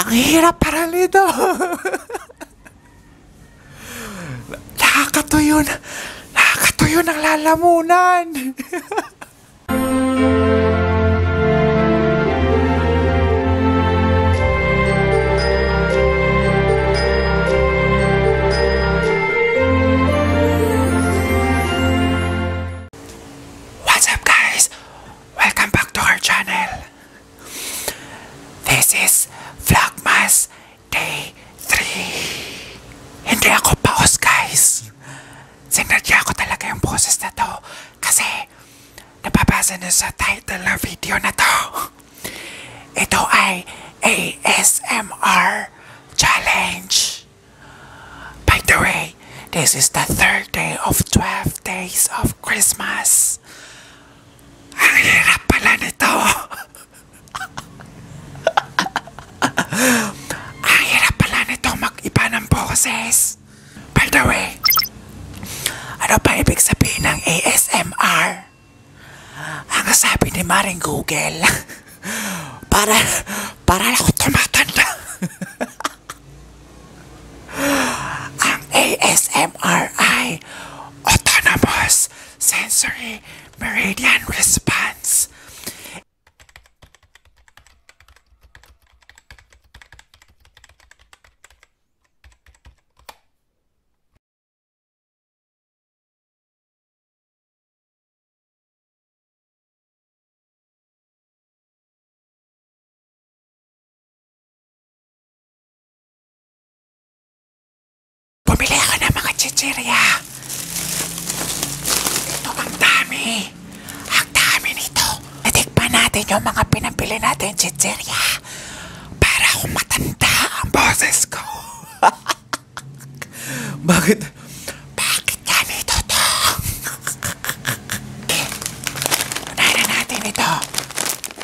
Ang hirap para nito. Nakakatuyo na. Nakakatuyo ng lalamunan. What's up guys? Welcome back to our channel. This is Vlogmas Day 3. Hindi ako paos guys. Sinadya ko talaga yung poses na to kasi napapasa na sa title ng video na to. Ito ay ASMR Challenge. By the way, this is the third day of 12 days of Christmas. Ang hirap pala nito. Ang hirap pala nito mag-iba ng boses. By the way, ano pa ibig sabihin ng ASMR? Ang sabi ni Maring Google, para para los tomates. ASMRI Autonomous Sensory Meridian Response. Bumili ako ng mga chichirya. Ito ang dami. Ang dami nito. Natikpan natin yung mga pinabili natin chichirya. Para akong matanda ang boses ko. Bakit bakit kami toto? okay. Unahin na natin ito.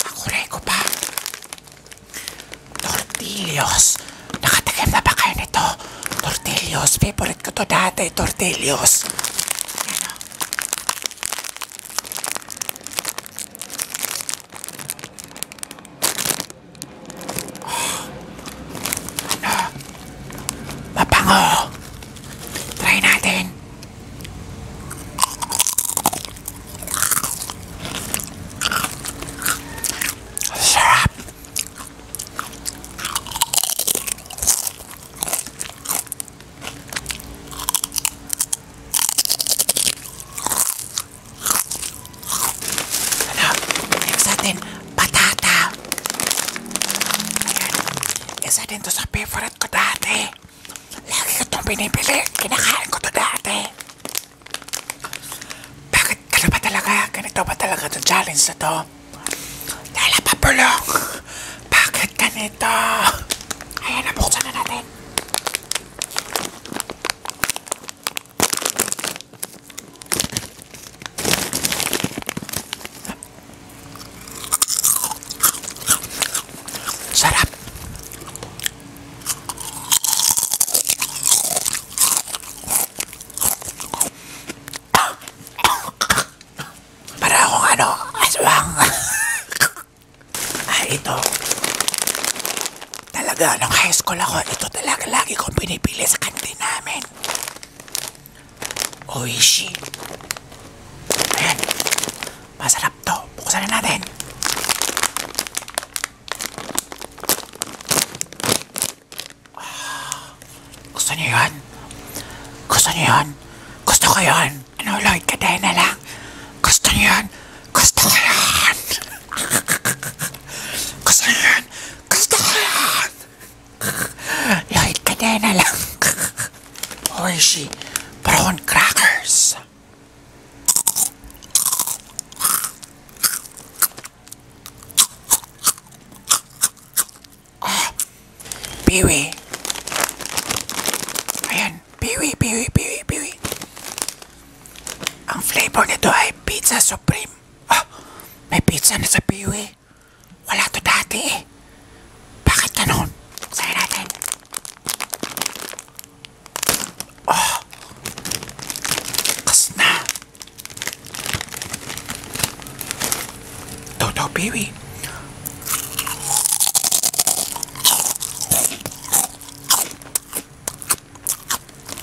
Akuray ko pa. Tortillos. Nakatagim na ba kayo nito? Tortillos. Favorite ko to dati. Tortillos. Yan o. Oh. Ano? Mapango. Try natin. Sarap. Ano? Ayos natin patata. Ayan. Isa din to sa favorite ko dati. Lagi ko itong binibili. Kinakain ko to dati. Bakit ka ba talaga? Ganito ba talaga itong challenge na to? Dahil napapulong. Bakit ganito? Ayan, nabuksan na natin. Sarap! Para akong ano, aswang. Ay, ah, ito. Talaga, nung high school ako, ito talaga lagi kong pinipili sa kantin namin. Oishi. Ayan. Masarap to. Buksan na natin. Ah, gusto niyo yun? Gusto niyo yun? Gusto ko yun. Ano, Lloyd? Kadahin na lang. Gusto niyo yun? Gusto ko yun. gusto niyo yun? Gusto ko yun. Lloyd Cadena lang. Hershey Brown Crackers. Ah, Piwi. Ayan, Piwi, Piwi, Piwi, Piwi. Ang flavor nito ay Pizza Supreme. Ah, may pizza na sa Piwi. Wala to dati eh. Bakit ganun? Buksahin natin. Oh! Kas na! Toto Baby.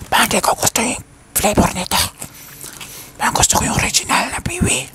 Bakit ko gusto yung flavor nito? Parang gusto ko yung original na Baby.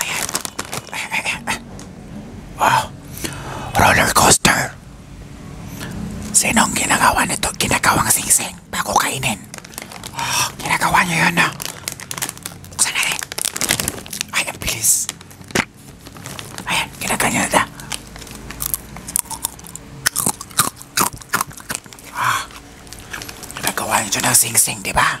Ayan. Ayan, ayan. Wow. Roller coaster. Sino ang ginagawa nito? Ginagawang sing-sing bago kainin. Oh, ginagawa niya yun na. Ah. Buksan natin. Ay, ang bilis. Ayan, ginaganyan na. Ah. Ginagawa niya ng sing-sing, di ba?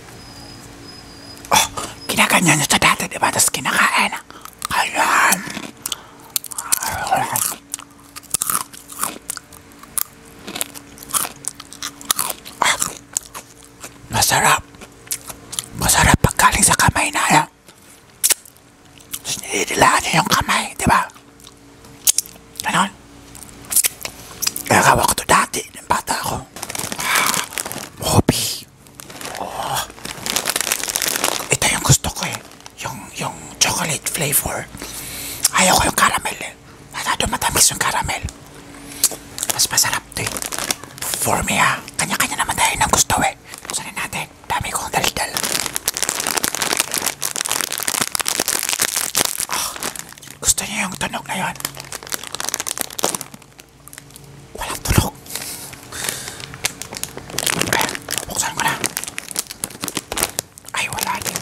Oh, kinaganyan nyo sa dati, diba? Tapos kinakain. Ayan. Ah, masarap. Masarap pagkaling sa kamay na yan. Tapos nililaan nyo yung kamay, diba? Ganon. Kaya gawa ko to dati, nung bata ako. Ah, Moby. Oh. Ito yung gusto ko eh. Yung, yung chocolate flavor. Ayaw ko yung caramel eh. Masyado matamis yung caramel. Mas masarap to eh. For me ah. Kanya-kanya naman tayo ng gusto eh. Kusanin natin. Dami kong daldal. Ah, gusto niyo yung tunog na yun? Walang tunog. Ayan, buksan ko na. Ay, wala din.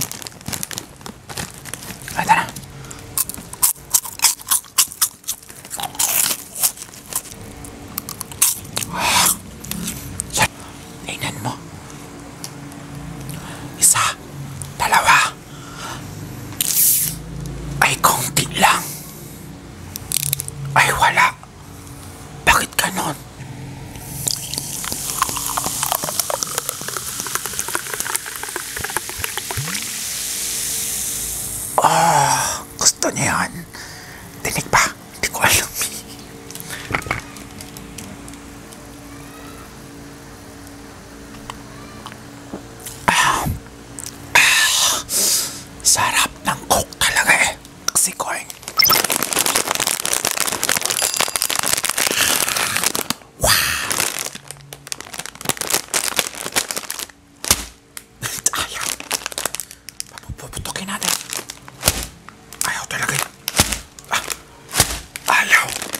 Ito na. Ah. Tingnan mo. Isa. Dalawa ay konti lang ay wala bakit ganon ah oh, gusto niya yan dinig ba hindi ko alam Sarap ng coke talaga eh. Kasi coin. Wow. Ayaw. Papuputokin natin. Ayaw talaga. Ah. Ayaw.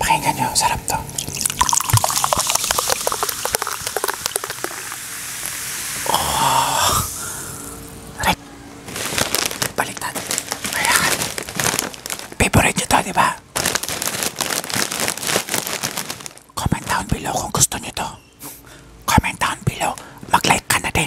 pakaikannya sarap tuh oh nyo to comment down to comment down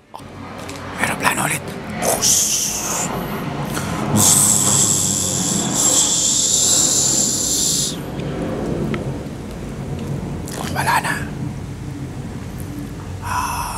Aeroplano ulit. Wala na. Ah.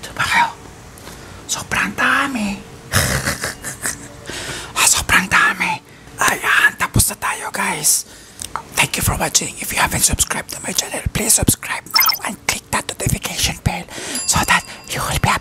Diba kayo? Sobrang dami. ah, sobrang dami. Ayan, tapos na tayo guys. Thank you for watching. If you haven't subscribed to my channel, please subscribe now and click that notification bell so that you will be